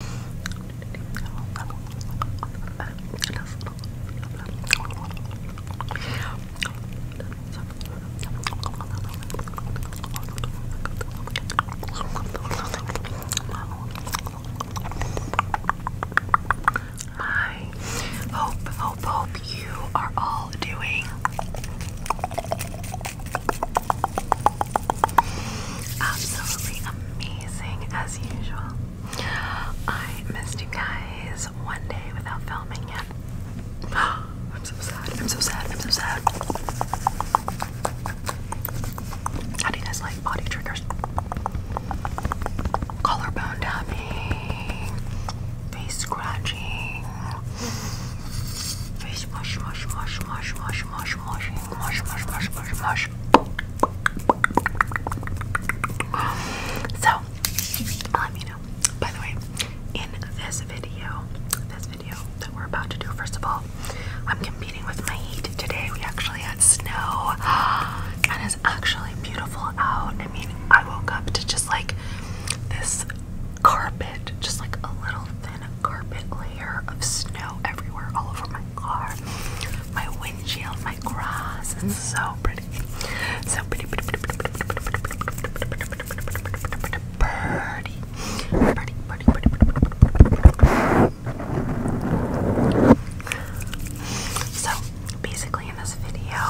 I hope, hope, hope you are all doing Absolutely amazing as usual. I missed you guys one day without filming yet. I'm so sad. I'm so sad. I'm so sad. How do you guys like body triggers? Collarbone tapping, face scratching, face wash, wash, wash, wash, wash, wash, washing. So, let me know. By the way, in this video, this video that we're about to do, first of all, I'm competing with my heat today. We actually had snow, and it's actually beautiful out. I mean, I woke up to just like this carpet, just like a little thin carpet, layer of snow everywhere, all over my car, my windshield, my grass. It's so pretty. So pretty, pretty, pretty, pretty, pretty, pretty, pretty, pretty, pretty, pretty, pretty, pretty, pretty. So basically, in this video,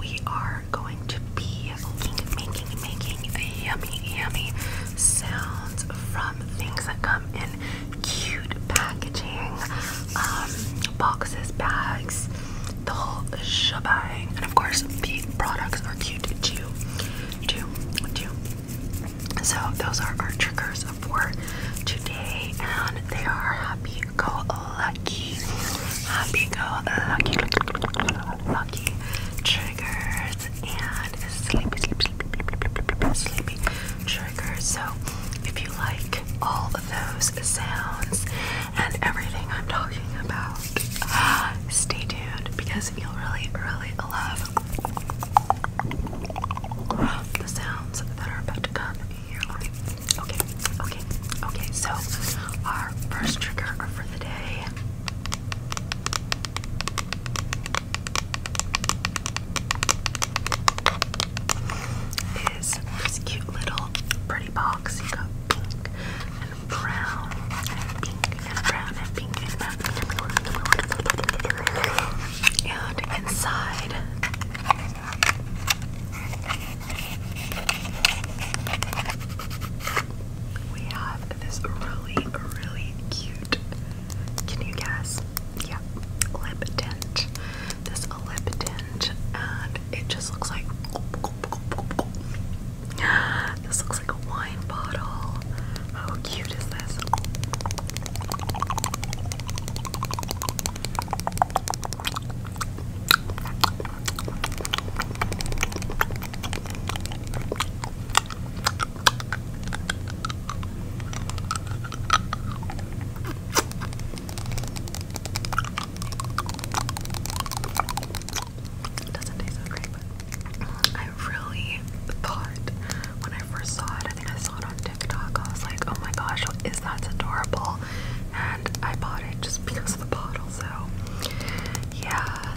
we are going to be making, making, making a yummy, yummy sounds from things that come in cute packaging, um, boxes, bags, the whole shabang, And of course, the products are cute too. too, too. So those are our triggers for today, and they are happy go lucky, happy go lucky, lucky triggers and sleepy, sleepy, sleepy, sleepy, sleepy triggers. So if you like all of those sounds and everything I'm talking about, stay tuned because you'll really, really love the sounds that are about to come your way. Okay, okay, okay. So our first trigger for the day is this cute little pretty box. You got pink and brown and pink and brown and pink and brown. And inside we have this really, really cute, can you guess? Yeah, lip tint. This a lip tint, and it just looks like this looks like a wine bottle. How cute is this? It doesn't taste great, but I really thought when I first saw it, I think I saw it on TikTok, I was like, oh my gosh, is that? adorable. And I bought it just because of the bottle, so yeah.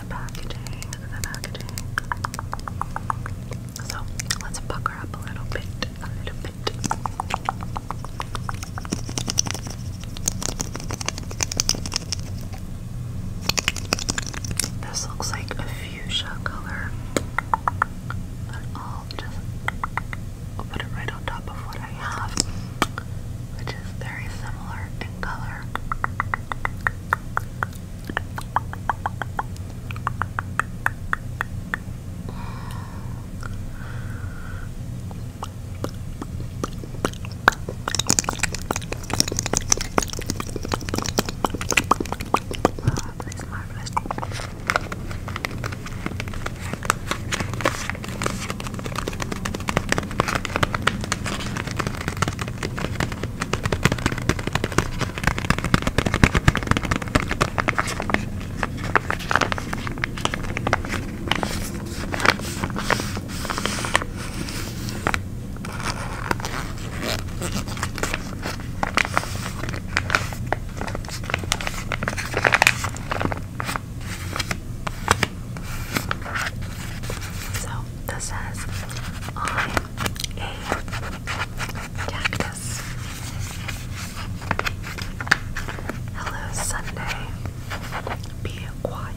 the packaging, the packaging. So let's pucker up a little bit, a little bit. This looks like a fuchsia color, I'll just put it right on top of what I have, which is very similar in color. That's marvelous. So this says I a cactus. Hello, Sunday. Be quiet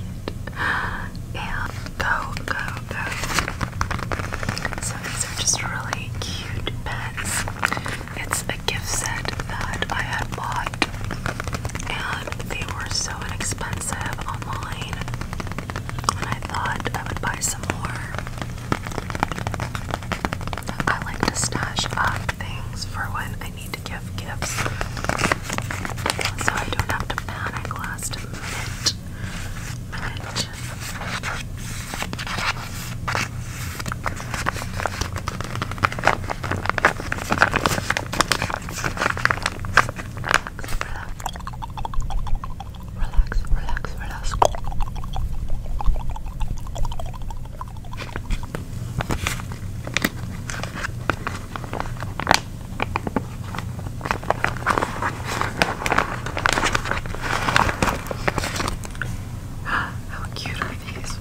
and go, go, go. So these are just really cute pets. It's a gift set that I had bought, and they were so inexpensive online. I thought I would buy some more. I like to stash up things for when I need to give gifts, so I don't have to panic last minute relax, relax, relax, relax, relax. How cute are these?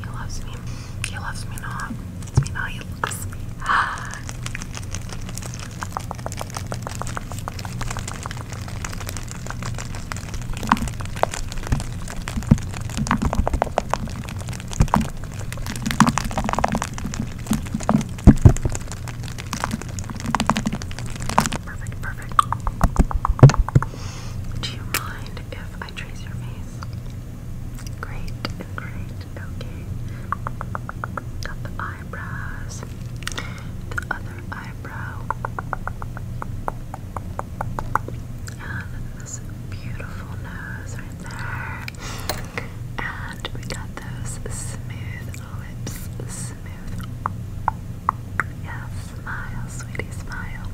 He loves me. He loves me not. Me not. He loves me. Perfect, perfect. Do you mind if I trace your face? Great, great, okay. Got the eye eyebrows, the other eyebrow, and this beautiful nose right there. And we got those smooth lips, smooth. Yeah, smile, sweetie, smile.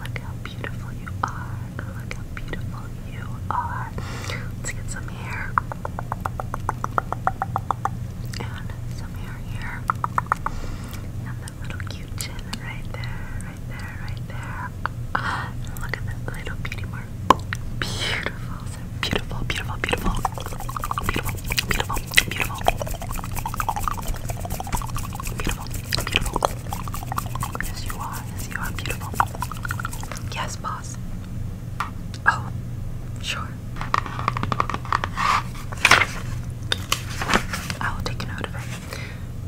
Look how beautiful you are. Look how beautiful you are. Let's get some here. And some hair here. And that little cute chin right there, right there, right there. And look at this little beauty mark. Beautiful, so beautiful, beautiful, beautiful, beautiful, beautiful, beautiful, beautiful, beautiful. Yes, you are. Yes, you are beautiful. Yes, Oh, sure. I'll take a note of it.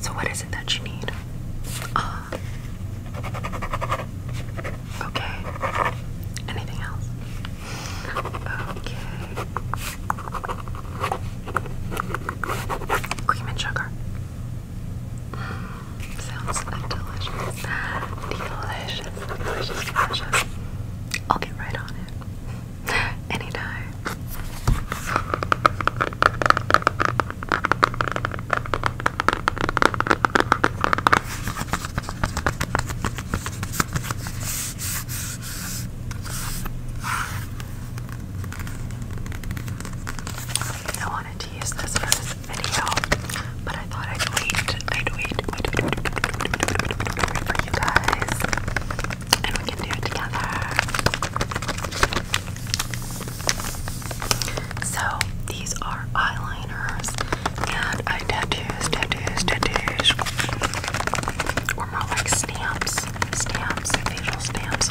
So, what is it that you need? Ah. okay. Anything else? Okay. Cream and sugar. Mm. Sounds delicious. Delicious, delicious, delicious. I'll get right on it. Anytime. I wanted to use this for video, but I thought I'd wait, I'd wait, wait, wait, wait, wait, wait, wait, wait for you guys, and we can do it together. So these are eyeliners, and I tattoos, tattoos, tattoos, or more like stamps, stamps, facial stamps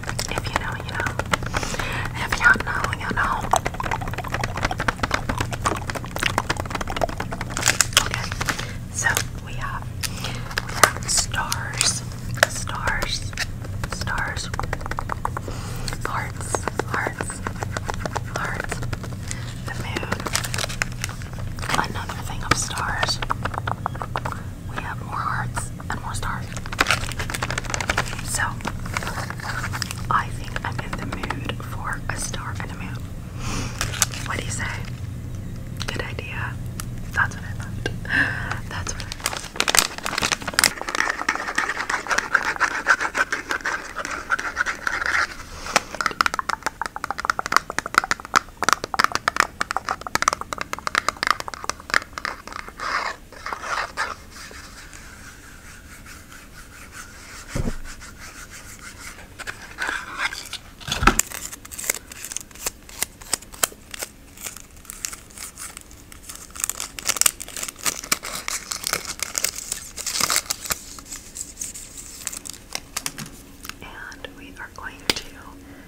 if you know, you know. If y'all know, you know. Okay, so we have we have stars, stars, stars, hearts, hearts, hearts, the moon. Another thing of stars we have more hearts and more stars. So, I think I'm in the mood for a star and a moon. What do you say? Good idea. That's what I thought. That's what and we are going to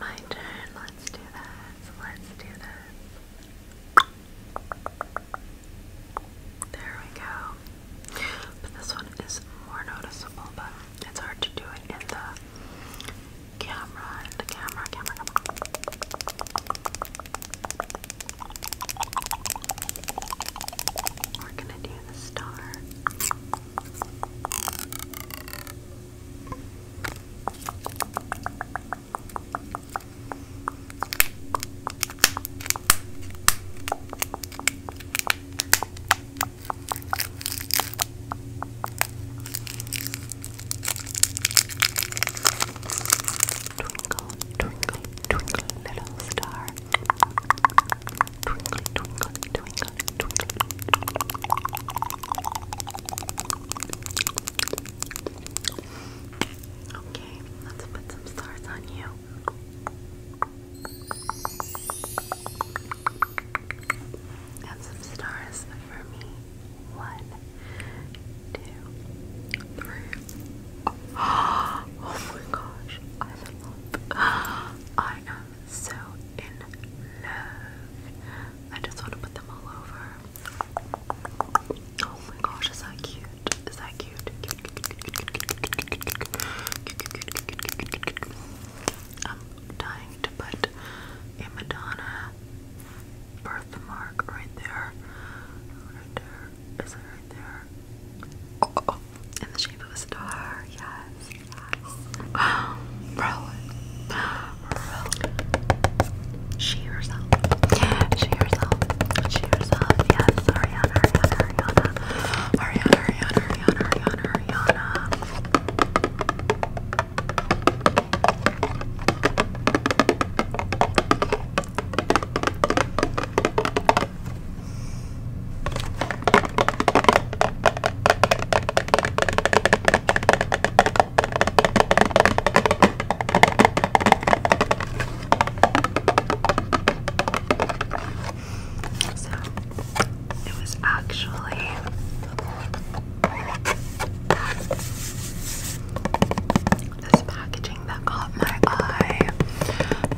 My turn. Let's do this. Let's do this. There we go. But this one is more noticeable, but it's hard to do it in the camera. the camera, camera. We're gonna do the star. Twinkle, twinkle, twinkle, little star. Twinkle, twinkle, twinkle, Okay, let's put some stars on you. And some stars for me. One, two, three. Oh my gosh, I am so in love. I just want to put them all over. Oh my gosh, is that cute? Is that cute? I'm dying to put a Madonna birthmark right there. Right there. Is it right there? Oh, oh, oh. in the shape of a star, yes. Um, roll it. She herself. She herself. She herself. Yes, Ariana, Ariana. Ariana, Ariana, Ariana, Ariana, Ariana. So it was actually this packaging that caught my eye,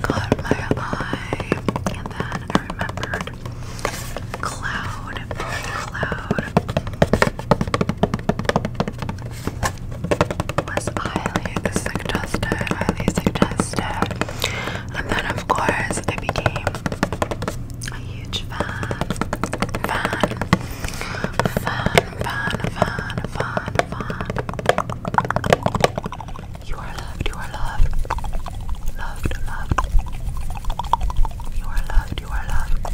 caught my eye, and then I remembered cloud, cloud was highly suggested, highly suggested. And then of course I became a huge fan, fan, fan, fan, fan, fan, fan. You are you are loved. Loved, loved. You are loved, you are loved.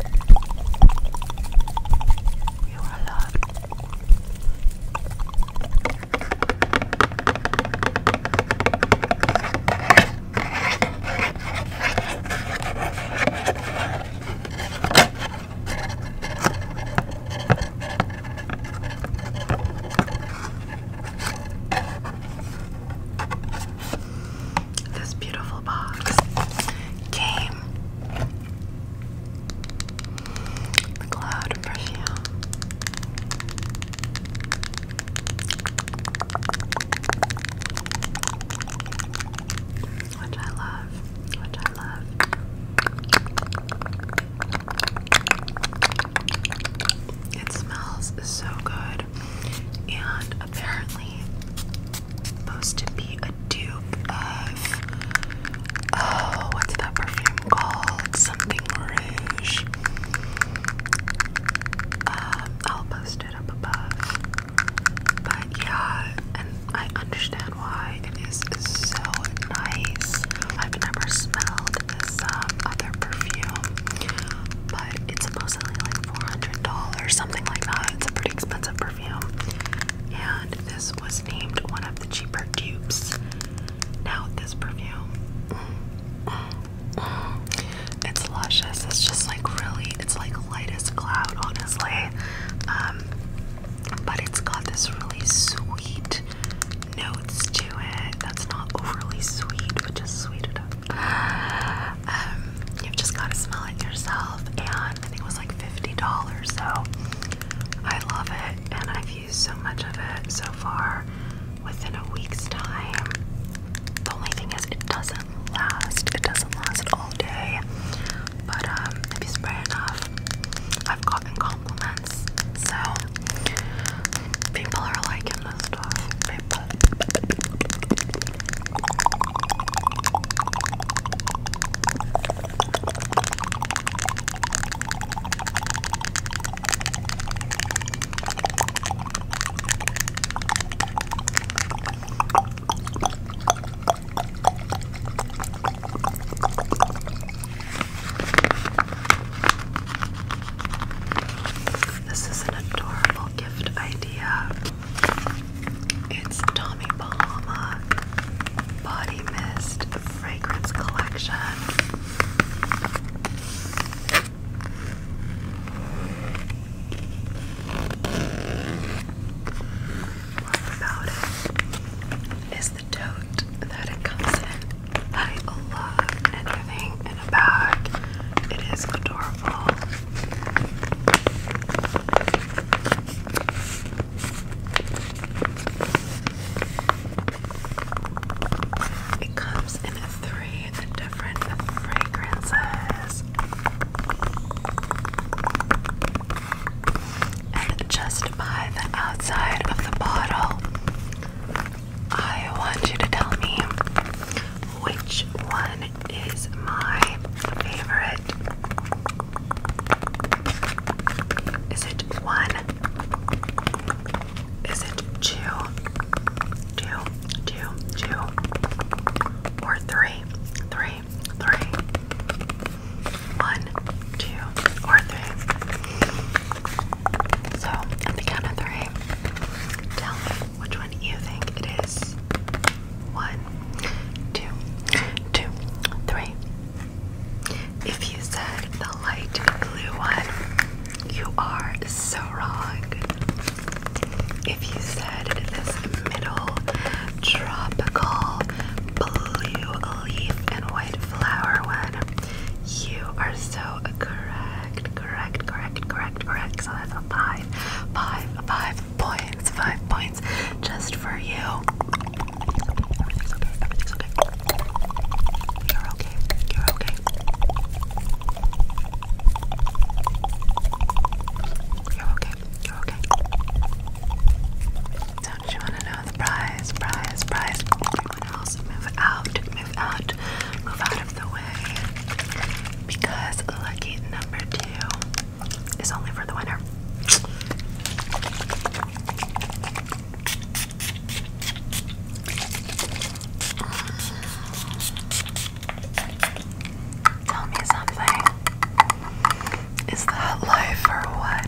You are loved. This beautiful box came the cloud perfume. Which I love, which I love. It smells so good, and apparently, supposed to be a dupe of oh, what's that perfume called? Something Rouge. Um, I'll post it up above, but yeah, and I understand why it is so nice. I've never smelled this um, other perfume, but it's supposedly like $400, something like that. It's a pretty expensive perfume. And this was named one of the cheaper dupes. Now, this perfume, it's luscious. It's just like really, it's like light as a cloud, honestly. Um, but it's got this really sweet notes to it that's not overly sweet, but just sweet enough. Um, you've just got to smell it yourself, and I think it was like $50, so I love it, and I've used so much of it so far within a week's time. The only thing is, it doesn't last, it doesn't last all day, but um, if you spray enough, I've gotten so people are liking this stuff. This is an adorable gift idea. It's Tommy Bahama Body Mist Fragrance Collection. What about it? Is that it comes in. I love anything in a bag. It is adorable. It comes in three different fragrances. And just by the outside of the bottle, I want you to tell me which one is my favorite. Is it one? Is it two? Two, two, two, or three? Three, or three. So at the count of three, tell me which one you think it is. One, two, two, three. If you said the light blue one, you are so wrong. If you said this middle tropical blue leaf and white flower one, you are so correct, correct, correct, correct, correct. So that's a five, five, five points, five points just for you. Everything's okay, everything's okay. You're okay, you're okay. You're okay, you're okay. Don't you want to know the prize, prize, prize? everyone else move out, move out, move out of the way. Because lucky number two is only for the winner. Tell me something. Is that life or what?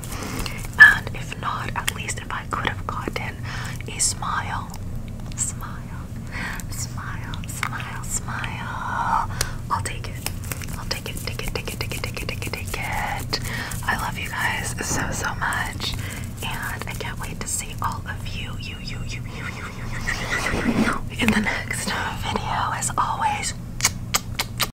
now. And if not, at least if I could have gotten a smile, smile, smile, smile, smile, I'll take it. I'll take it, take it, take it, take it, take it, take it, take it. I love you guys so, so much. And I can't wait to see all of you, you, you, you, you, you, you, you, you, you, you, you in the next video as always.